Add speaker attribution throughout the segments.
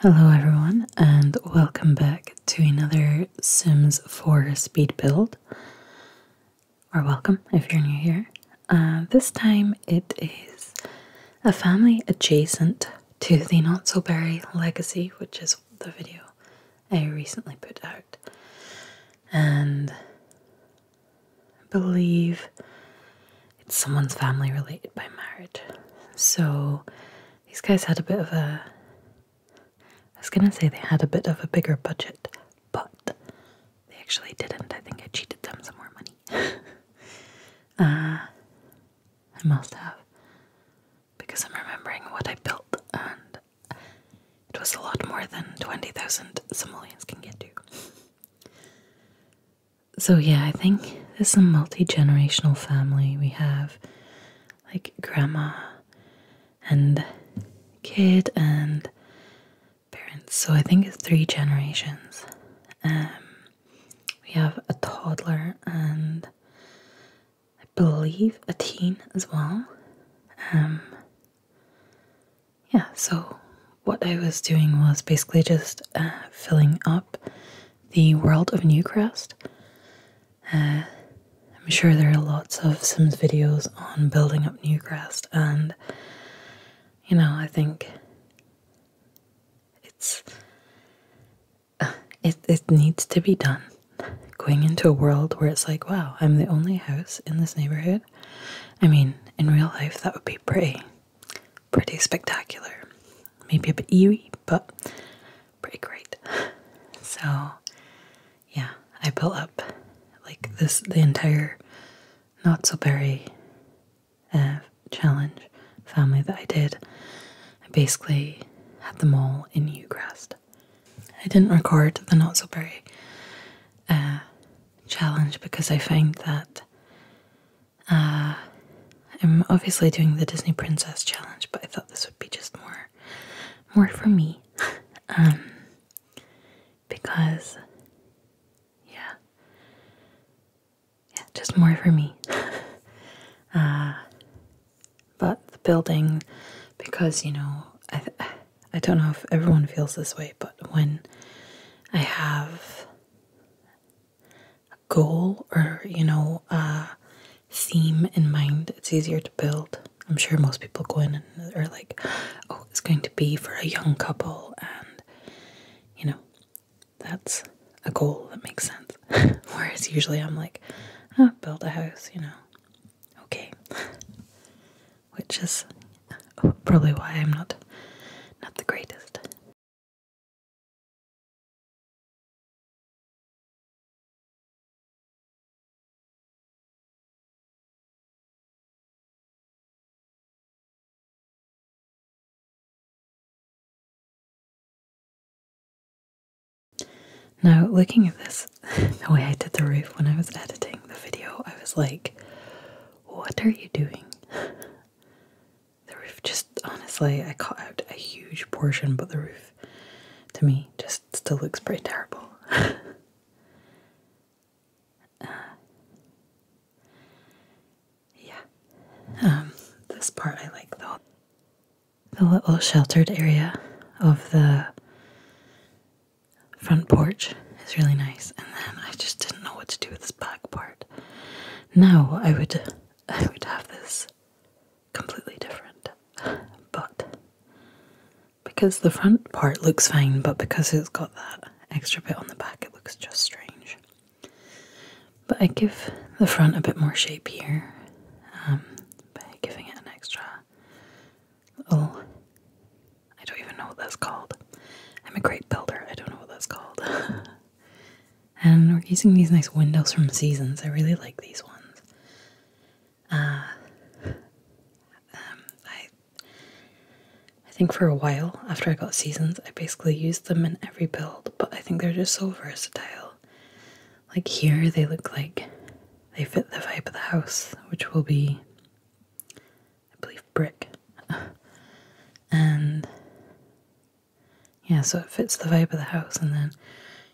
Speaker 1: Hello everyone and welcome back to another Sims 4 speed build. Or welcome if you're new here. Uh, this time it is a family adjacent to the Not Legacy, which is the video I recently put out. And believe it's someone's family related by marriage. So these guys had a bit of a. I was gonna say they had a bit of a bigger budget, but they actually didn't. I think I cheated them some more money. Ah, I must have. Because I'm remembering what I built, and it was a lot more than 20,000 Somalians can get to. So, yeah, I think it's a multi generational family. We have like grandma and kid and parents. So, I think it's three generations. Um, we have a toddler and I believe a teen as well. Um, yeah, so what I was doing was basically just uh, filling up the world of Newcrest. Uh, I'm sure there are lots of Sims videos on building up Newcrest, and you know, I think it's uh, it it needs to be done. Going into a world where it's like, wow, I'm the only house in this neighborhood. I mean, in real life, that would be pretty pretty spectacular. Maybe a bit eerie, but pretty great. So, yeah, I built up like this the entire not so berry uh, challenge family that I did. I basically had them all in Newcrest. I didn't record the not so berry uh, challenge because I find that uh, I'm obviously doing the Disney Princess Challenge, but I thought this would be just more, more for me, um, because, yeah, yeah, just more for me. uh, but the building, because you know, I, I don't know if everyone feels this way, but when I have goal or you know a theme in mind it's easier to build i'm sure most people go in and are like oh it's going to be for a young couple and you know that's a goal that makes sense whereas usually i'm like oh, build a house you know okay
Speaker 2: which is probably why i'm not not the greatest now, looking at this, the way I did
Speaker 1: the roof when I was editing the video, I was like, what are you doing? the roof just honestly, I cut out a huge portion, but the roof to me just still looks pretty terrible. Uh, yeah, um, this part I like though. The little sheltered area of the front porch is really nice, and then I just didn't know what to do with this back part. Now I would I would have this completely different. But because the front part looks fine, but because it's got that extra bit on the back, it looks just strange. But I give the front a bit more shape here um, by giving it an extra little. I don't even know what that's called. I'm a great builder, I don't know what that's called. And we're using these nice windows from Seasons. I really like these ones. Uh, um, I, I think for a while after I got Seasons, I basically used them in every build, but I think they're just so versatile. Like here, they look like they fit the vibe of the house, which will be I believe brick. and yeah, so it fits the vibe of the house, and then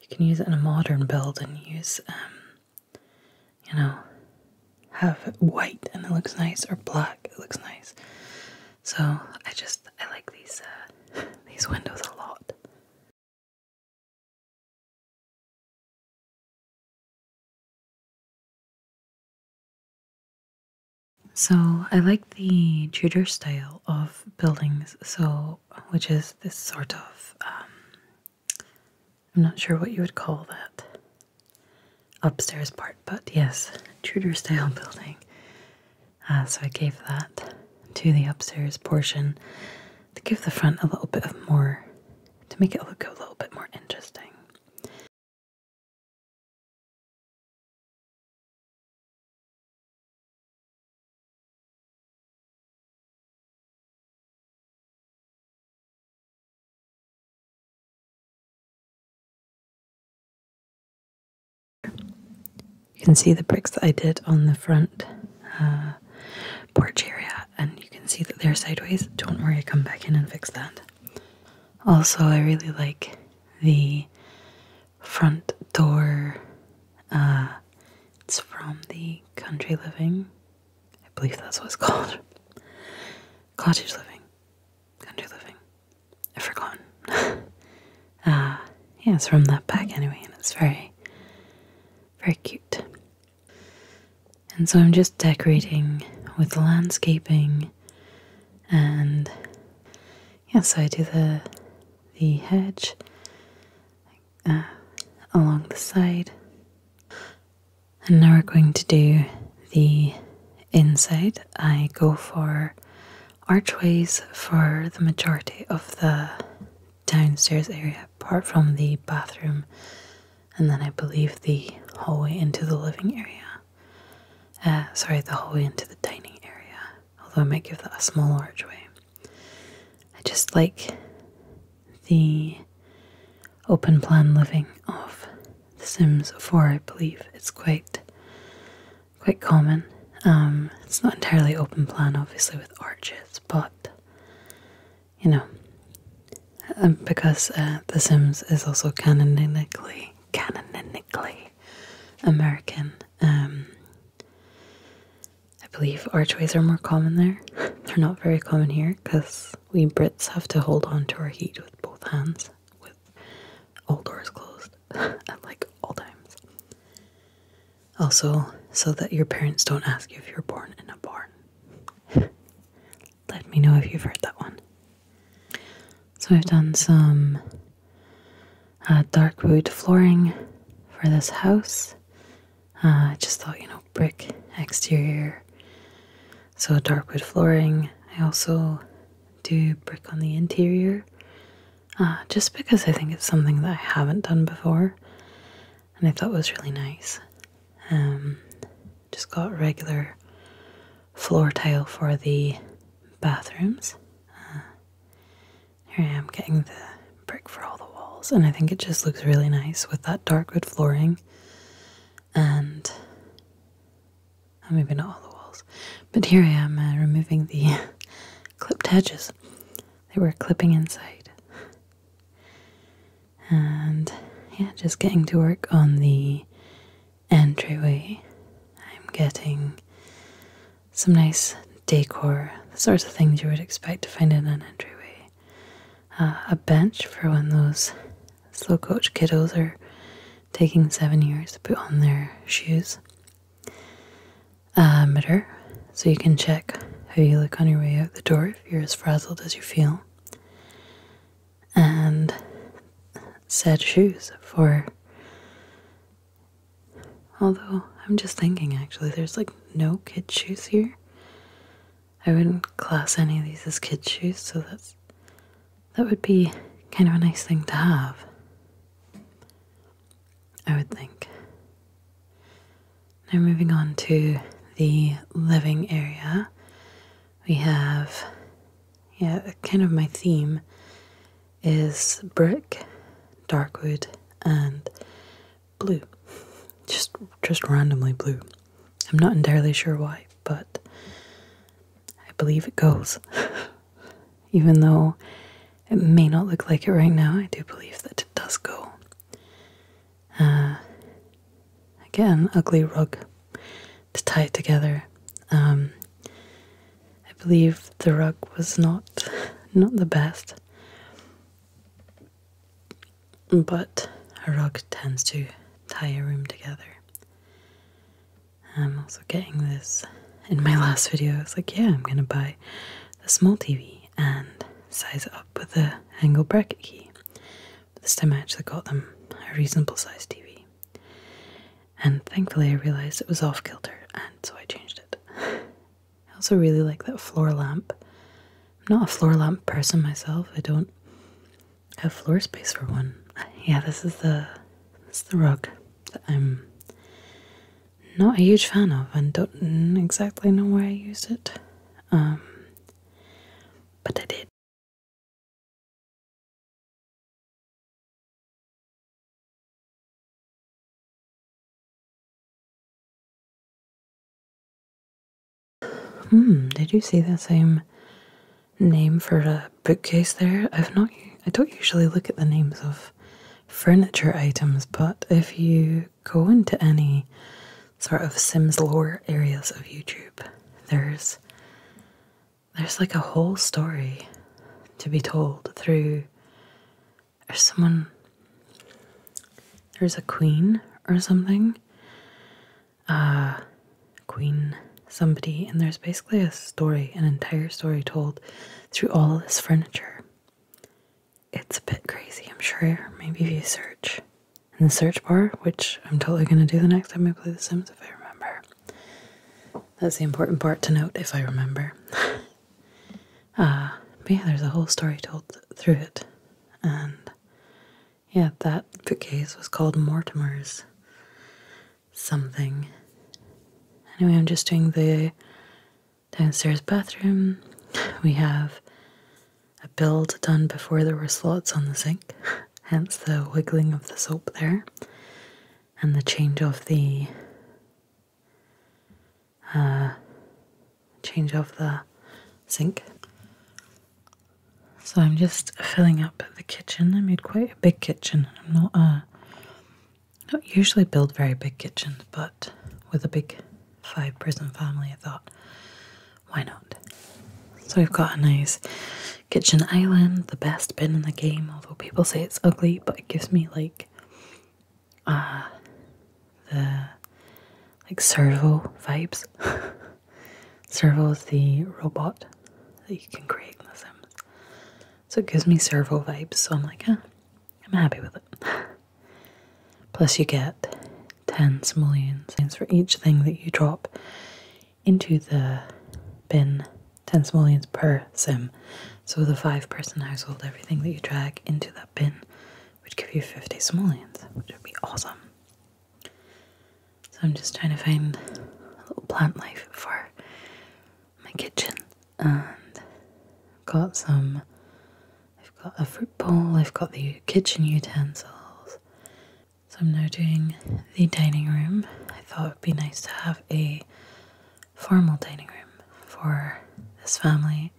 Speaker 1: you can use it in a modern build and use, um, you know, have white and it looks nice, or black,
Speaker 2: it looks nice. So I just I like these uh, these windows a lot. So I like the Tudor style of buildings, so which is this sort of
Speaker 1: um, I'm not sure what you would call that upstairs part, but yes, Tudor style building. Uh, so I gave that to the upstairs portion to give the front a little bit of more
Speaker 2: to make it look a little bit more interesting. You can see the bricks that I did on the front uh, porch area,
Speaker 1: and you can see that they're sideways. Don't worry, I come back in and fix that. Also, I really like the front door. Uh, it's from the country living. I believe that's what it's called. Cottage living. Country living. I've forgotten. uh, yeah, it's from that pack anyway, and it's very, very cute. And so I'm just decorating with landscaping and yeah, so I do the the hedge uh, along the side. And now we're going to do the inside. I go for archways for the majority of the downstairs area, apart from the bathroom, and then I believe the hallway into the living area. Uh, sorry, the hallway into the dining area, although I might give that a small archway. I just like the open plan living of The Sims 4, I believe. It's quite quite common. Um, it's not entirely open plan, obviously, with arches, but you know, um, because uh, The Sims is also canonically, canonically American. Um, I believe archways are more common there. They're not very common here because we Brits have to hold on to our heat with both hands, with all doors closed at like all times. Also, so that your parents don't ask you if you're born in a barn. let me know if you've heard that one. So I've done some uh, dark wood flooring for this house. Uh, I just thought, you know, brick exterior, so dark wood flooring. I also do brick on the interior uh, just because I think it's something that I haven't done before and I thought was really nice. Um, just got regular floor tile for the bathrooms. Uh, here I am getting the brick for all the walls, and I think it just looks really nice with that dark wood flooring and I'm uh, not all the walls. But here I am uh, removing the clipped hedges. They were clipping inside. And yeah, just getting to work on the entryway. I'm getting some nice decor, the sorts of things you would expect to find in an entryway. Uh, a bench for when those slow kiddos are taking seven years to put on their shoes. A mirror, so you can check how you look on your way out the door if you're as frazzled as you feel and said shoes for. Although, I'm just thinking actually, there's like no kid shoes here. I wouldn't class any of these as kid shoes, so that's. That would be kind of a nice thing to have. I would think. Now, moving on to the living area, we have, yeah, kind of my theme is brick, dark wood, and blue. Just, just randomly blue. I'm not entirely sure why, but I believe it goes. Even though it may not look like it right now, I do believe that it does go. Uh, again, ugly rug to tie it together. Um, I believe the rug was not not the best, but a rug tends to tie a room together. I'm also getting this in my last video. I was like, yeah, I'm gonna buy a small TV and size it up with the angle bracket key but this time I actually got them a reasonable sized TV. And thankfully I realised it was off kilter and so I changed it. I also really like that floor lamp. I'm not a floor lamp person myself. I don't have floor space for one. Yeah, this is the this the rug that I'm not a huge fan of and don't exactly know where I used it. Um,
Speaker 2: but I did. Hmm, did you see that same name for a bookcase there? I've not I don't usually look
Speaker 1: at the names of furniture items, but if you go into any sort of Sims lore areas of YouTube, there's there's like a whole story to be told through there's someone there's a queen or something uh queen somebody and there's basically a story an entire story told through all this furniture it's a bit crazy i'm sure maybe if you search in the search bar, which I'm totally going to do the next time I play The Sims if I remember. That's the important part to note if I remember. uh, but yeah, there's a whole story told through it. And yeah, that bookcase was called Mortimer's something. Anyway, I'm just doing the downstairs bathroom. We have a build done before there were slots on the sink, hence the wiggling of the soap there, and the change of the uh, change of the sink. So I'm just filling up the kitchen. I made quite a big kitchen. I'm not uh, not usually build very big kitchens, but with a big five prison family, I thought, why not? So we've got a nice kitchen island, the best bin in the game, although people say it's ugly, but it gives me like uh the like servo vibes. servo is the robot that you can create in the Sims. So it gives me servo vibes, so I'm like, huh, ah, I'm happy with it. Plus, you get 10 simoleons for each thing that you drop into the bin, 10 simoleons per sim. So, the five person household, everything that you drag into that bin would give you 50 simoleons, which would be awesome. So, I'm just trying to find a little plant life for my kitchen and got some I've got a fruit bowl, I've got the kitchen utensils. So I'm now doing the dining room. I thought it would be nice to have a formal dining room for this family.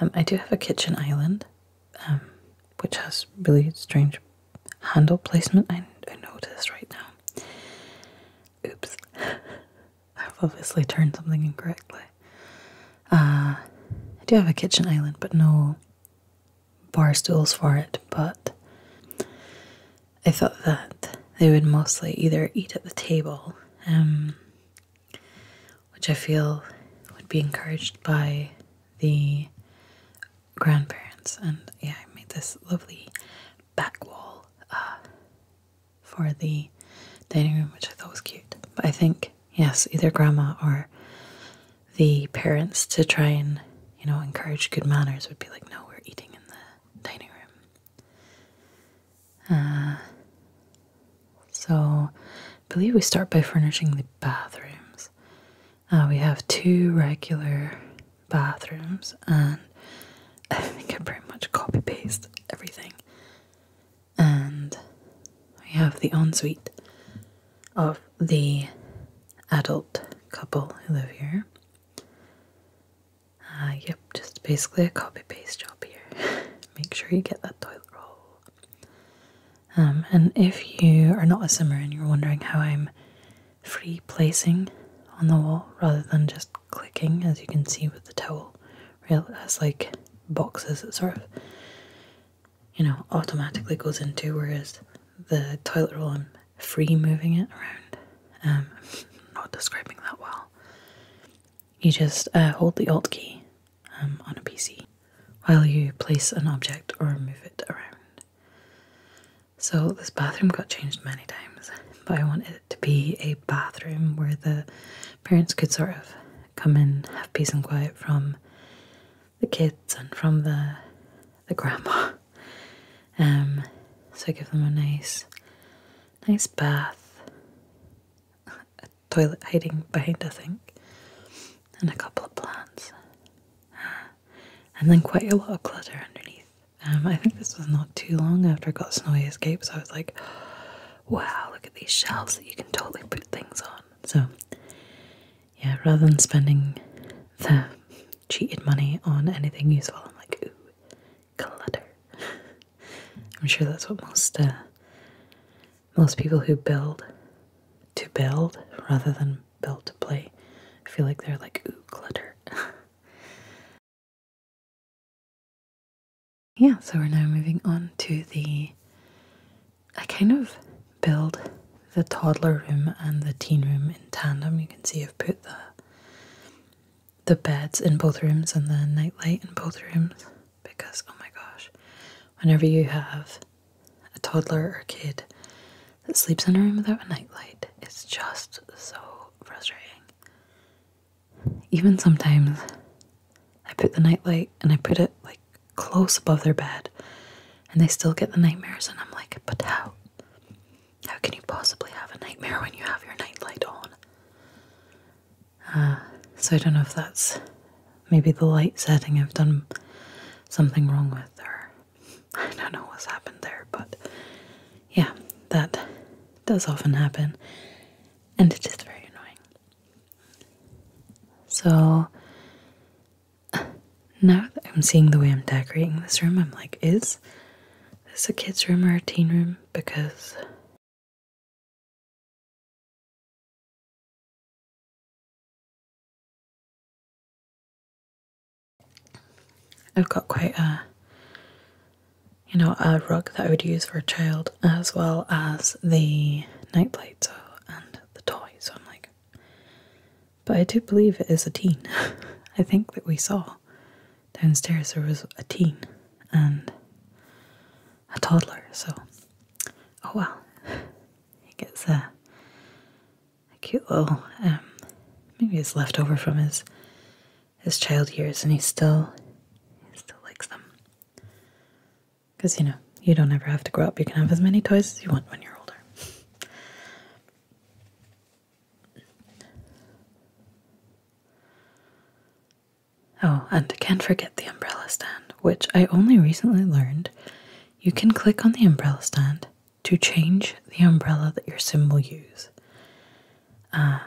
Speaker 1: Um, I do have a kitchen island, um, which has really strange handle placement, I noticed right now. Oops. I've obviously turned something incorrectly. Uh, I do have a kitchen island, but no bar stools for it. But I thought that they would mostly either eat at the table, um, which I feel would be encouraged by the grandparents. And yeah, I made this lovely back wall uh, for the dining room, which I thought was cute. But I think Yes, either grandma or the parents to try and, you know, encourage good manners would be like, no, we're eating in the dining room. Uh, so believe we start by furnishing the bathrooms. Uh, we have two regular bathrooms, and I think I pretty much copy paste everything and we have the ensuite of the adult couple who live here. Uh, yep, just basically a copy paste job here. Make sure you get that toilet roll. Um, and if you are not a simmer and you're wondering how I'm free placing on the wall rather than just clicking, as you can see with the towel real as like boxes that sort of you know automatically goes into whereas the toilet roll I'm free moving it around. Um, not describing that well. You just uh, hold the Alt key um, on a PC while you place an object or move it around. So this bathroom got changed many times, but I wanted it to be a bathroom where the parents could sort of come and have peace and quiet from the kids and from the the grandma. Um, so I give them a nice, nice bath, a toilet hiding behind, I think, and a couple of plants, and then quite a lot of clutter underneath. Um, I think this was not too long after I got Snowy Escape, so I was like, wow, look at these shelves that you can totally put things on. So, yeah, rather than spending the cheated money on anything useful, I'm like, ooh, clutter. I'm sure that's what most uh, most people who build to build
Speaker 2: rather than build to play. feel like they're like, ooh, clutter. Yeah, so we're now moving on to the. I kind of build the toddler room and the teen
Speaker 1: room in tandem. You can see I've put the the beds in both rooms and the nightlight in both rooms because oh my gosh, whenever you have a toddler or kid that sleeps in a room without a nightlight, it's just so frustrating. Even sometimes, I put the nightlight and I put it like close above their bed, and they still get the nightmares. And I'm like, but how? How can you possibly have a nightmare when you have your nightlight on? Uh, so I don't know if that's maybe the light setting I've done something wrong with, or I don't know what's happened there, but yeah, that does often happen, and it is very annoying. So now that I'm seeing the way I'm decorating this room, I'm like, is this a kid's
Speaker 2: room or a teen room? Because I've got quite a you know, a rug that I would
Speaker 1: use for a child, as well as the nightlight so, and the toy. So I'm like, but I do believe it is a teen. I think that we saw downstairs there was a teen and a toddler. So, oh well, he gets a, a cute little um, maybe it's leftover from his his child years and he still he still likes them. Cause you know, you don't ever have to grow up. You can have as many toys as you want when you're older. Oh, and can't forget the umbrella stand, which I only recently learned you can click on the umbrella stand to change the umbrella that your sim will use. Uh,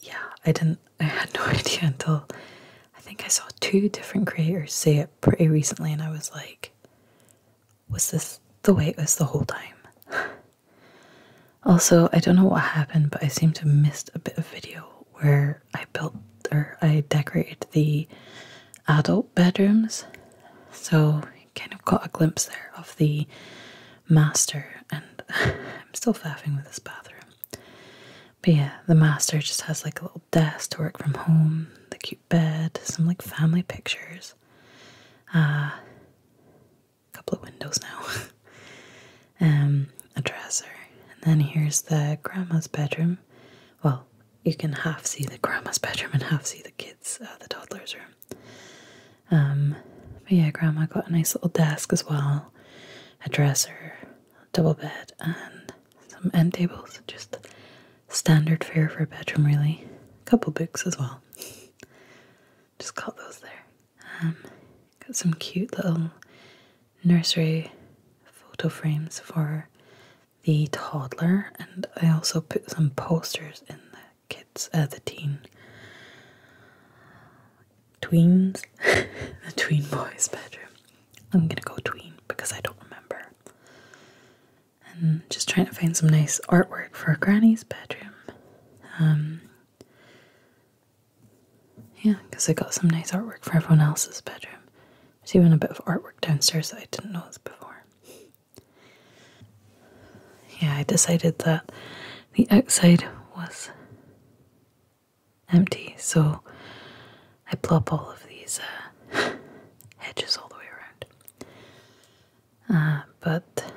Speaker 1: yeah, I didn't, I had no idea until I think I saw two different creators say it pretty recently, and I was like, was this the way it was the whole time? also, I don't know what happened, but I seem to missed a bit of video where I built or I decorated the adult bedrooms, so kind of got a glimpse there of the master, and I'm still faffing with this bathroom. But yeah, the master just has like a little desk to work from home, the cute bed, some like family pictures, uh, a couple of windows now, and um, a dresser, and then here's the grandma's bedroom. Well, you can half see the grandma's bedroom and half see the kids, uh, the toddler's room. Um, but yeah, Grandma got a nice little desk as well, a dresser, double bed, and some end tables. Just standard fare for a bedroom, really. A couple books as well. Just got those there. Um, got some cute little nursery photo frames for the toddler, and I also put some posters in the kids, uh, the teen tweens, the tween boys' bedroom. I'm gonna go tween because I don't remember. And just trying to find some nice artwork for Granny's bedroom. Um, yeah, because I got some nice artwork for everyone else's bedroom. There's even a bit of artwork downstairs that I didn't notice before. Yeah, I decided that the outside was empty, so I plop all of these uh, hedges all the way around. Uh, but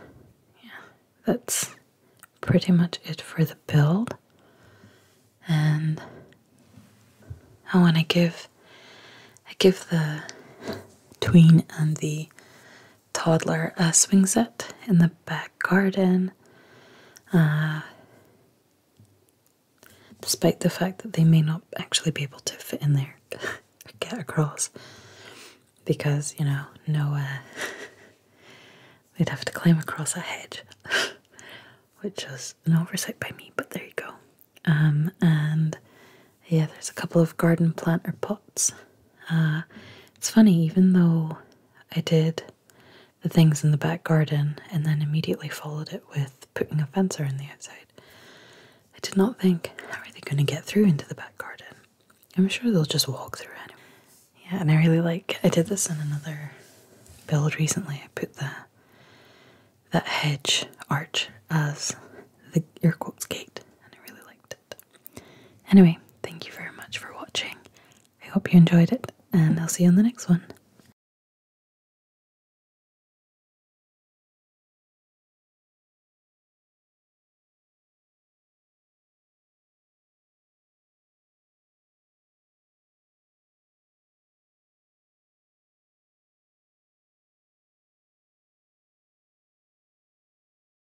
Speaker 1: yeah, that's pretty much it for the build. And I want to give I give the tween and the toddler uh, swing set in the back garden. Uh, despite the fact that they may not actually be able to fit in there or get across because, you know, no, uh, they'd have to climb across a hedge, which is an oversight by me, but there you go. Um, and yeah, there's a couple of garden planter pots uh, it's funny, even though I did the things in the back garden and then immediately followed it with putting a fence around the outside, I did not think, how are they going to get through into the back garden? I'm sure they'll just walk through anyway. Yeah, and I really like, I did this in another build recently. I put the that hedge arch as the air quotes gate, and I really liked
Speaker 2: it. Anyway, thank you very much for watching. I hope you enjoyed it, and I'll see you on the next one.